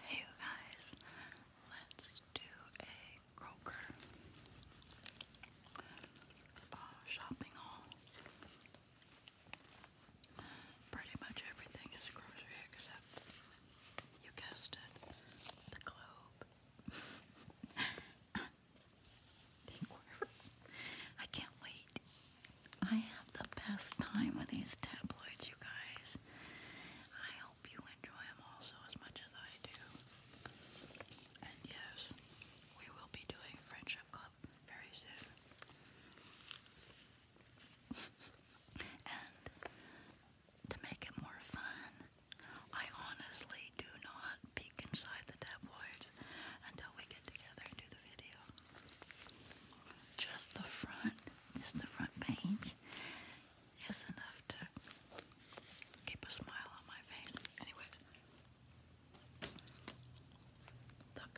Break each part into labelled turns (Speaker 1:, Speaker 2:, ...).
Speaker 1: Hey, you guys, let's do a Kroger uh, shopping haul. Pretty much everything is grocery except you guessed it. The globe. I can't wait. I have the best time with these tabloids, you guys. I hope you enjoy them also as much as I do. And yes, we will be doing Friendship Club very soon. and to make it more fun. I honestly do not peek inside the tabloids until we get together and do the video. Just the front, just the front page is enough to keep a smile on my face. Anyway, look,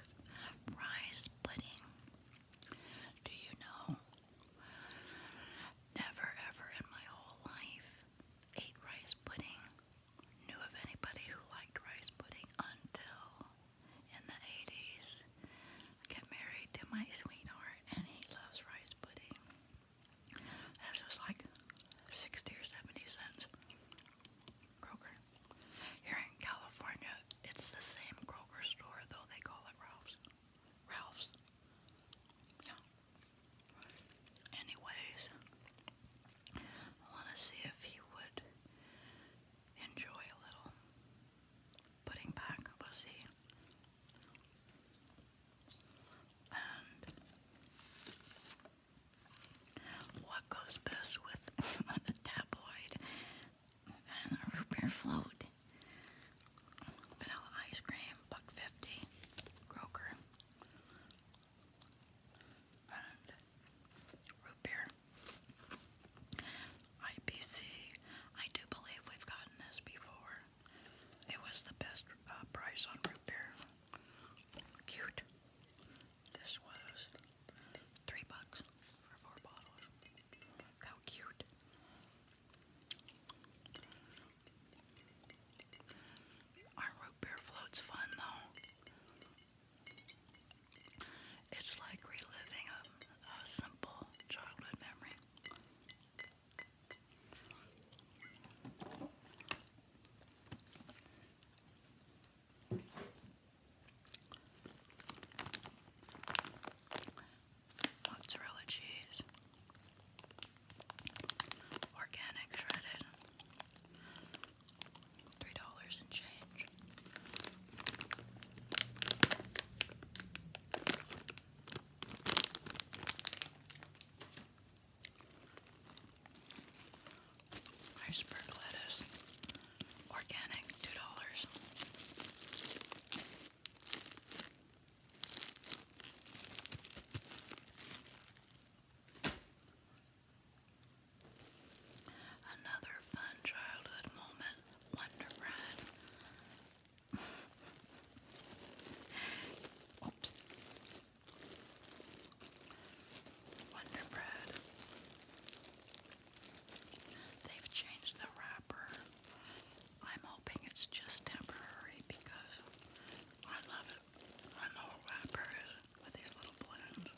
Speaker 1: rice pudding. Do you know? Never ever in my whole life ate rice pudding, knew of anybody who liked rice pudding until in the 80s I got married to my sweetheart and he loves rice pudding. That was like 60 or 70 cents. Kroger. Here in California, it's the same Kroger store, though they call it Ralph's. Ralph's. Anyways, I want to see if he would enjoy a little putting back. We'll see. And what goes best with tabloid and root beer float, vanilla ice cream, buck fifty, Kroger, root beer. IPC. I do believe we've gotten this before. It was the best uh, price on root beer. Cute. This was three bucks for four bottles. How cute. Our beer float's fun though. It's like reliving a simple childhood memory mozzarella cheese, organic shredded, three dollars and change. Iceberg lettuce. Organic, two dollars. Another fun childhood moment, Wonder Bread. Oops. Wonder Bread. They've changed the wrapper. I'm hoping it's just temporary because I love it. I know what with these little blends.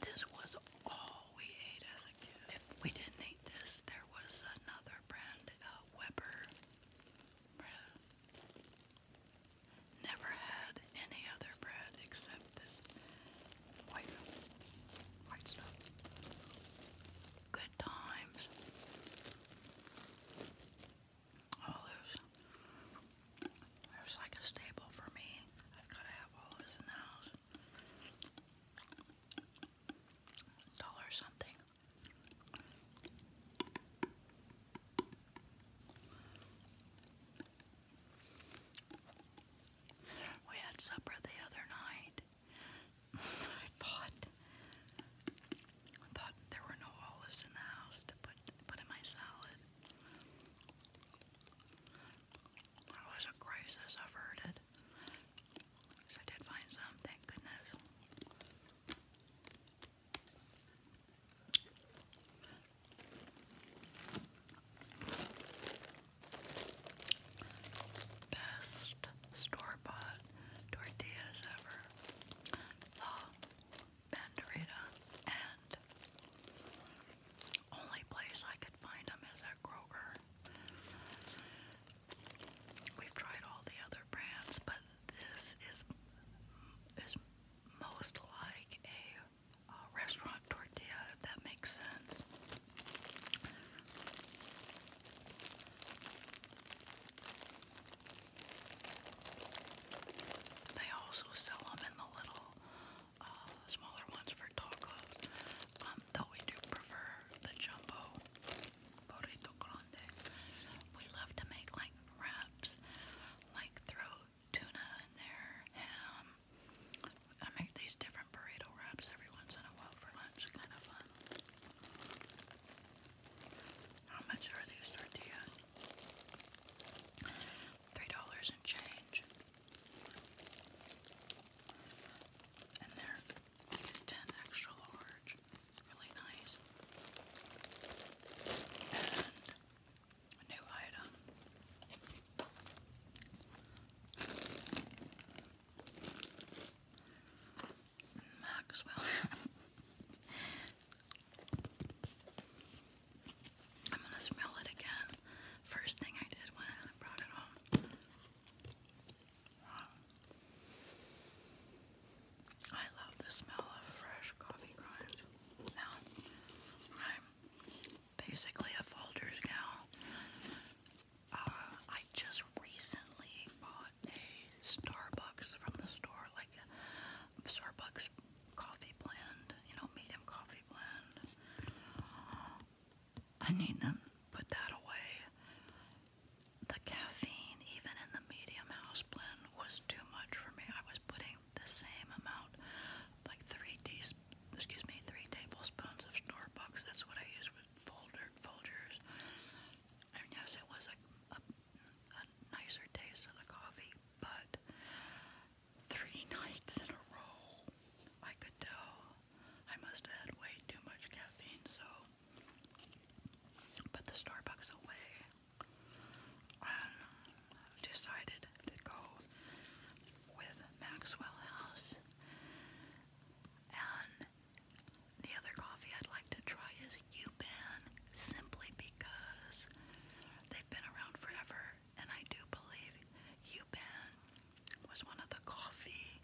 Speaker 1: This was all we ate as a kid. If we didn't eat this, there was another brand, uh, Weber. Never had any other bread except this white, white stuff. Good times. Olives. There's like a staple for me. I've got to have olives in the house. Dollar something we had supper the other night. I thought I thought there were no olives in the house to put put in my salad. That was a crisis averted. I did find some, thank goodness. Best store bought tortillas ever. La Banderita and only place I could find them is at Kroger. We've tried all the other brands, but this is is most like a uh, restaurant tortilla, if that makes sense. They also sell them in the little uh, smaller ones for tacos, um, though we do prefer the jumbo burrito grande. We love to make like wraps, like throw tuna in there, ham. I make these different burrito wraps every once in a while for lunch. Kind of fun. How much are these tortillas? Three dollars and change. And they're ten extra large. Really nice new item. Maxwell. I'm gonna smell it again. First thing I did when I brought it home. I love the smell of fresh coffee grounds. Now I'm basically a folders gown. Uh, I just recently bought a Starbucks from the store, like a Starbucks coffee blend, you know, medium coffee blend. I need to put that away. The caffeine, even in the medium house blend, was too much for me. I was putting the same amount, like three teaspoons. Excuse me, three tablespoons of Starbucks. That's what I use with Folger, Folgers. And yes, it was a, a nicer taste of the coffee, but three nights in a row, I could tell I must have had way too much caffeine. So, put the Starbucks away and decided to go with Maxwell House. And the other coffee I'd like to try is Uban, simply because they've been around forever, and I do believe Uban was one of the coffee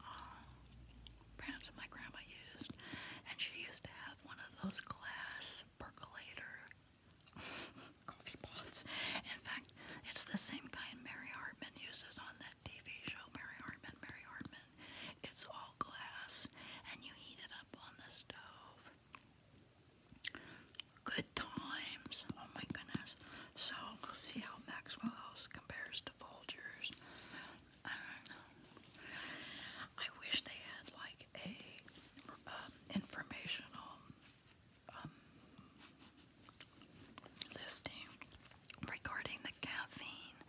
Speaker 1: uh, brands my grandma used, and she used to have one of those glass percolator coffee pots. In fact, it's the same kind Mary Hartman uses on that TV show, Mary Hartman, Mary Hartman. It's all glass and you heat it up on the stove. Good times. Oh my goodness. So we'll see how Maxwell House compares to Folgers. I wish they had like a uh, um, informational um, listing regarding the caffeine,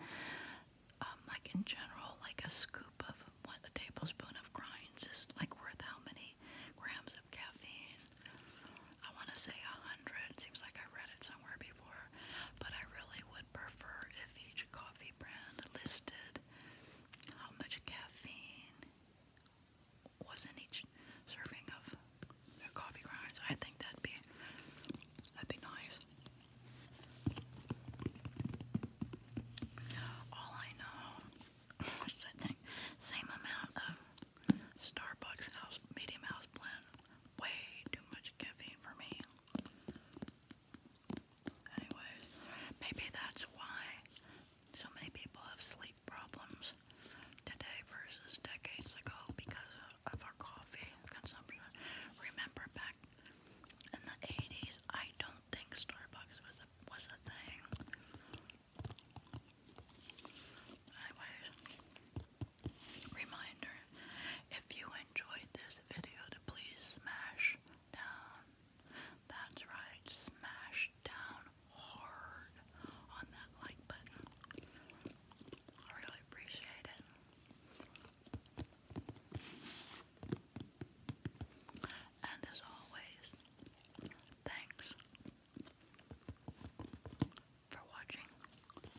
Speaker 1: um, like in general, like a scoop of what a tablespoon of grinds is like worth how many grams of caffeine? I want to say a hundred. Seems like I read it somewhere before, but I really would prefer if each coffee brand listed how much caffeine was in each serving of their coffee grinds. I think that'd be that'd be nice. All I know is that same amount of Starbucks house medium house blend. Way too much caffeine for me. Anyway, maybe that's why so many people have sleep problems today versus decades ago because of our coffee consumption. Remember back in the 80s, I don't think Starbucks was a, was a thing. Anyways, reminder, if you enjoyed this video to please smash down. That's right, smash down hard on that like button. I really appreciate it. And as always, thanks for watching.